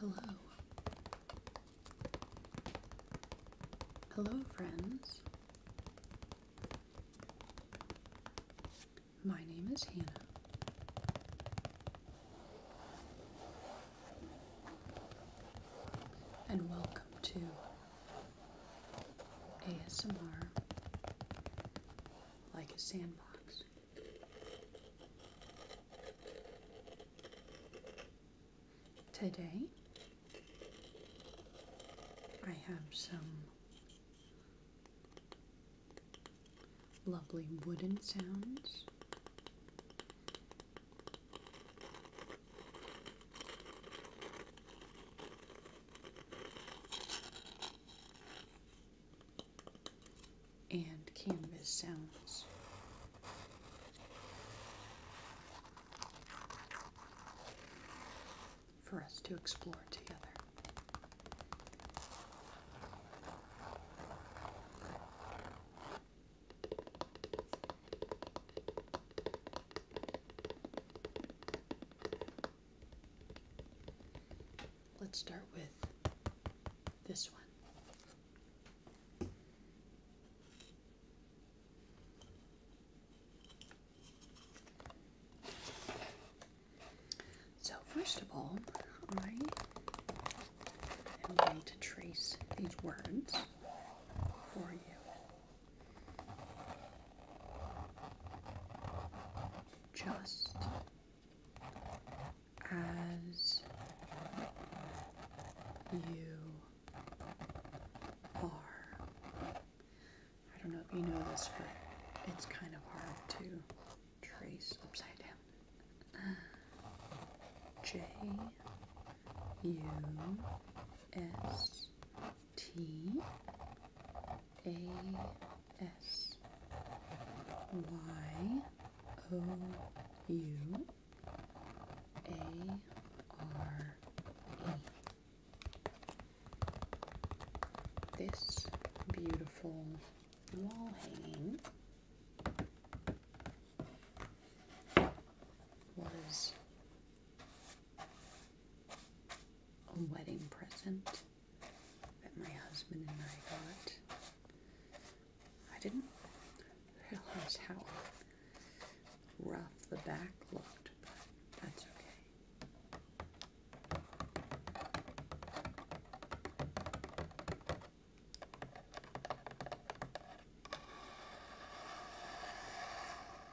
Hello. Hello, friends. My name is Hannah. And welcome to ASMR like a sandbox. Today, I have some lovely wooden sounds and canvas sounds. For us to explore together. Let's start with this one. So, first of all, I am going to trace these words for you just as you are. I don't know if you know this, but it's kind of hard to trace upside down. J U S T A S Y O U A R E. This beautiful wall hanging was a wedding present that my husband and I got. I didn't realize how rough the back looked, but that's okay.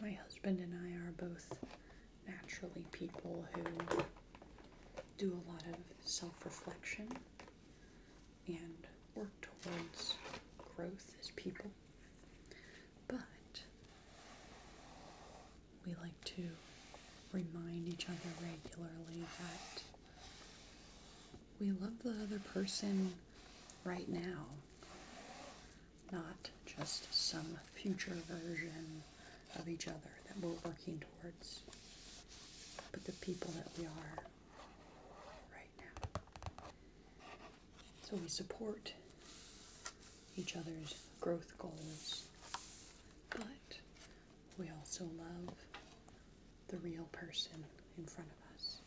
My husband and I are both naturally people who do a lot of self reflection and work towards growth as people. But we like to remind each other regularly that we love the other person right now, not just some future version of each other that we're working towards, but the people that we are right now. So we support each other's growth goals, but we also love the real person in front of us.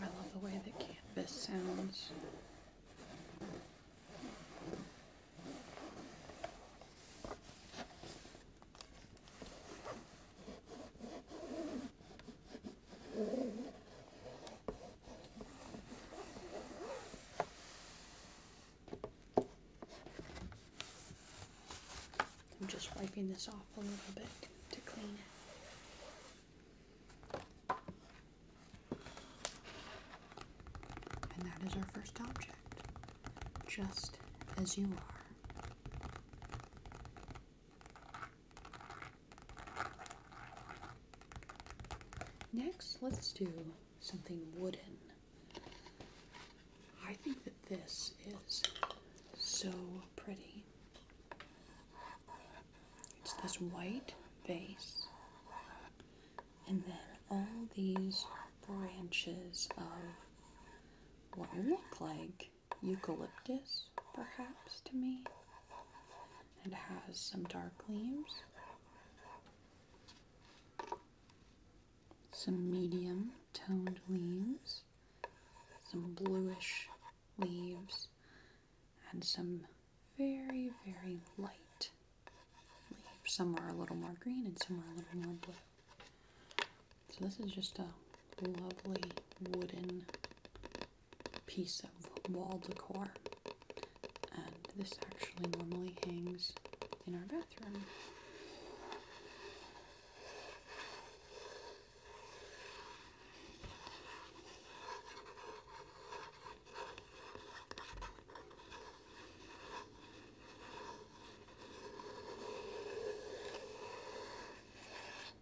I love the way that canvas sounds. I'm just wiping this off a little bit to clean it. And that is our first object, just as you are. Next, let's do something wooden. I think that this is so pretty. It's this white base, and then all these branches of what look like eucalyptus, perhaps, to me. It has some dark leaves, some medium toned leaves, some bluish leaves, and some very, very light leaves. Some are a little more green and some are a little more blue. So this is just a lovely wooden piece of wall decor. And this actually normally hangs in our bathroom.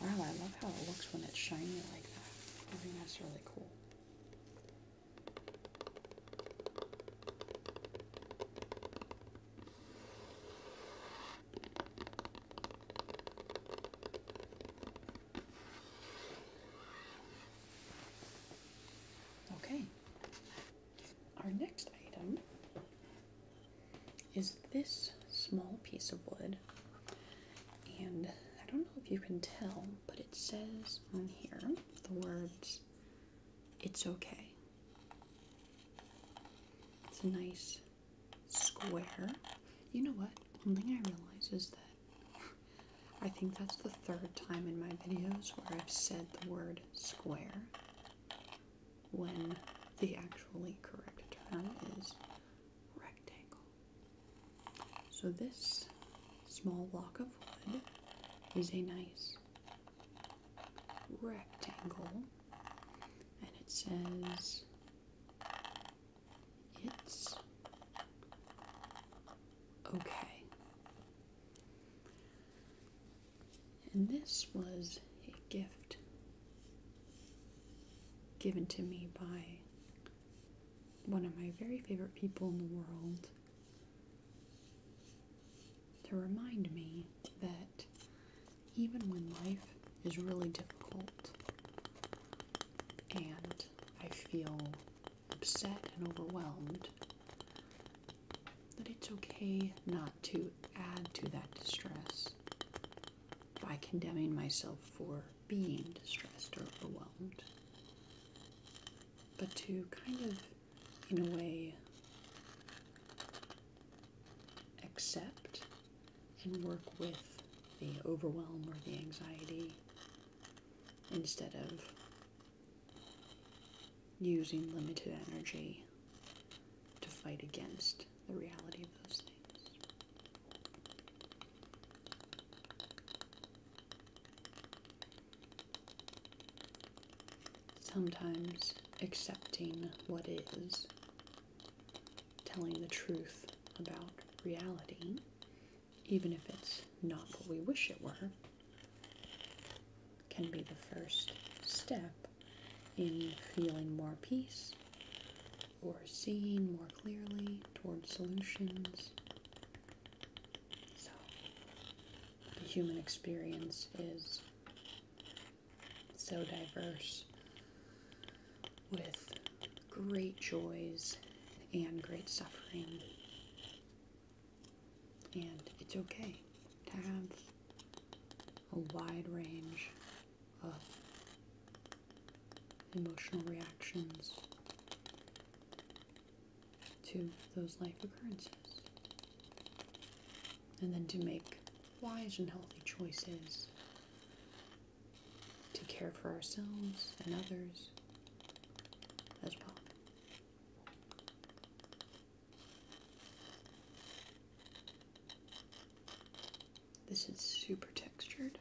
Wow, I love how it looks when it's shiny like that. I think that's really cool. Okay, our next item is this small piece of wood and I don't know if you can tell, but it says on here the words, it's okay. It's a nice square. You know what? One thing I realize is that I think that's the third time in my videos where I've said the word square when the actually correct term is rectangle. So, this small block of wood is a nice rectangle, and it says it's okay. And this was a gift given to me by one of my very favorite people in the world to remind me that even when life is really difficult and I feel upset and overwhelmed, that it's okay not to add to that distress by condemning myself for being distressed or overwhelmed, but to kind of, in a way, accept and work with the overwhelm or the anxiety instead of using limited energy to fight against the reality of those things. Sometimes accepting what is, telling the truth about reality, even if it's not what we wish it were, can be the first step in feeling more peace or seeing more clearly towards solutions. So, the human experience is so diverse with great joys and great suffering. And it's okay to have a wide range emotional reactions to those life occurrences. And then to make wise and healthy choices to care for ourselves and others as well. This is super textured.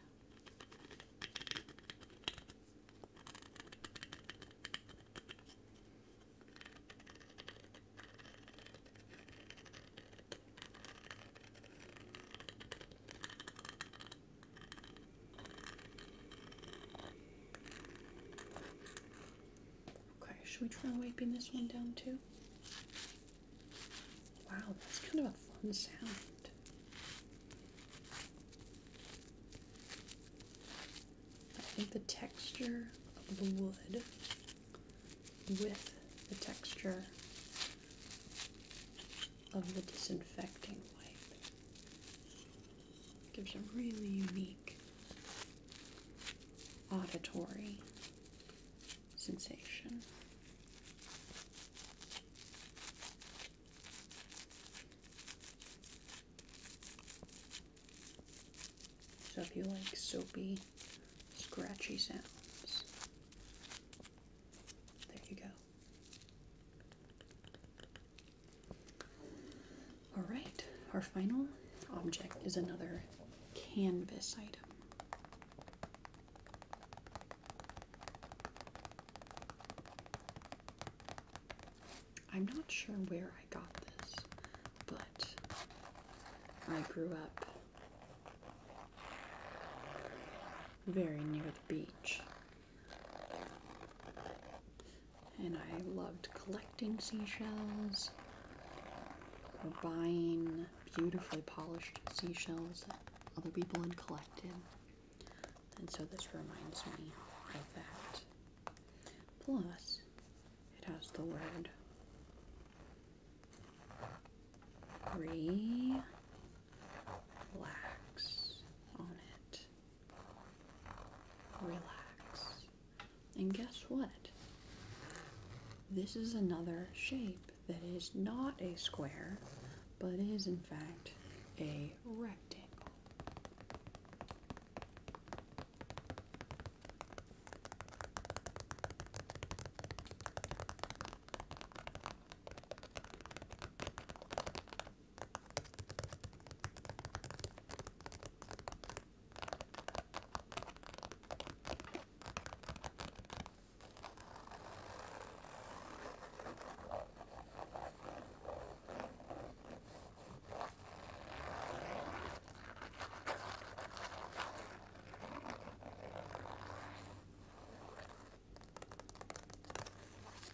Okay, should we try wiping this one down too? Wow, that's kind of a fun sound. I think the texture of the wood with the texture of the disinfecting wipe gives a really unique auditory sensation. So if you like soapy, scratchy sounds, there you go. Alright, our final object is another canvas item. I'm not sure where I got this, but I grew up very near the beach. And I loved collecting seashells or buying beautifully polished seashells that other people had collected. And so this reminds me of that. Plus, it has the word relax on it. Relax. And guess what? This is another shape that is not a square but is in fact a rectangle.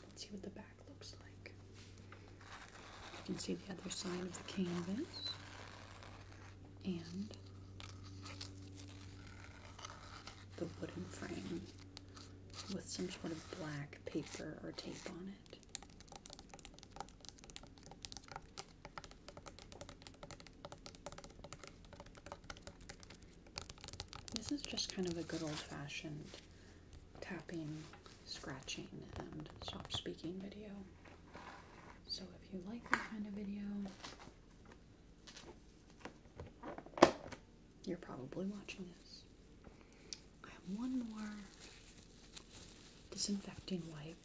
Let's see what the back looks like. You can see the other side of the canvas and the wooden frame with some sort of black paper or tape on it. This is just kind of a good old fashioned tapping, scratching, and stop speaking video. So if you like that kind of video, you're probably watching this. I have one more disinfecting wipe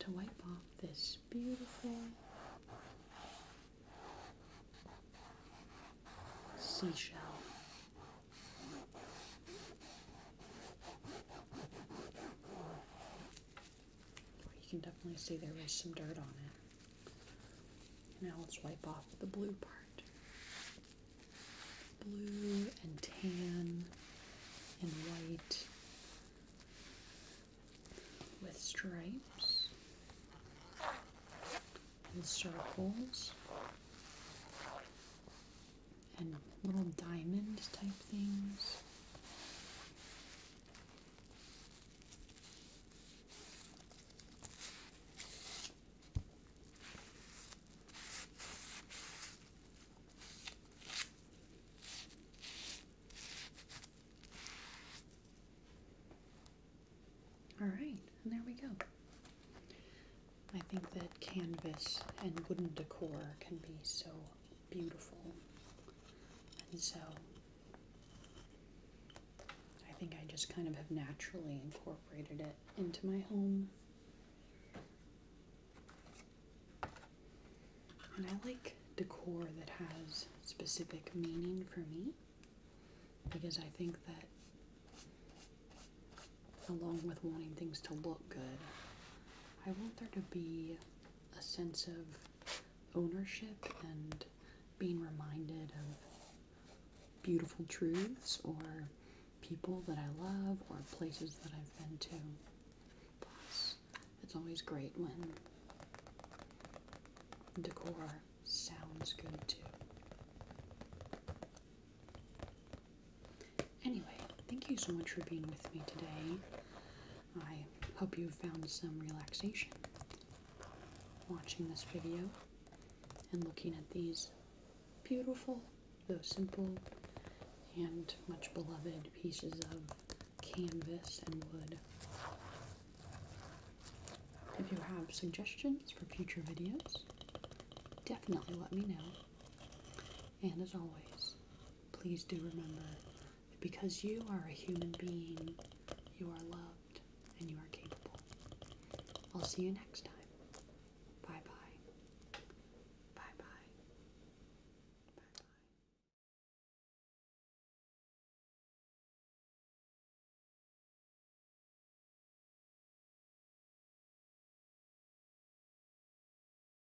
to wipe off this beautiful seashell. You can definitely see there is some dirt on it. Now let's wipe off the blue part. Blue and tan and white with stripes and circles and little diamond type things all right, and there we go. I think that canvas and wooden decor can be so beautiful. And so I think I just kind of have naturally incorporated it into my home. And I like decor that has specific meaning for me because I think that along with wanting things to look good, I want there to be a sense of ownership and being reminded of beautiful truths or people that I love or places that I've been to. Plus, it's always great when decor sounds good too. Anyway, thank you so much for being with me today. I hope you found some relaxation watching this video and looking at these beautiful, though simple, and much beloved pieces of canvas and wood. If you have suggestions for future videos, definitely let me know. And as always, please do remember that because you are a human being, you are loved and you are capable. I'll see you next time. Bye bye. Bye bye. Bye bye.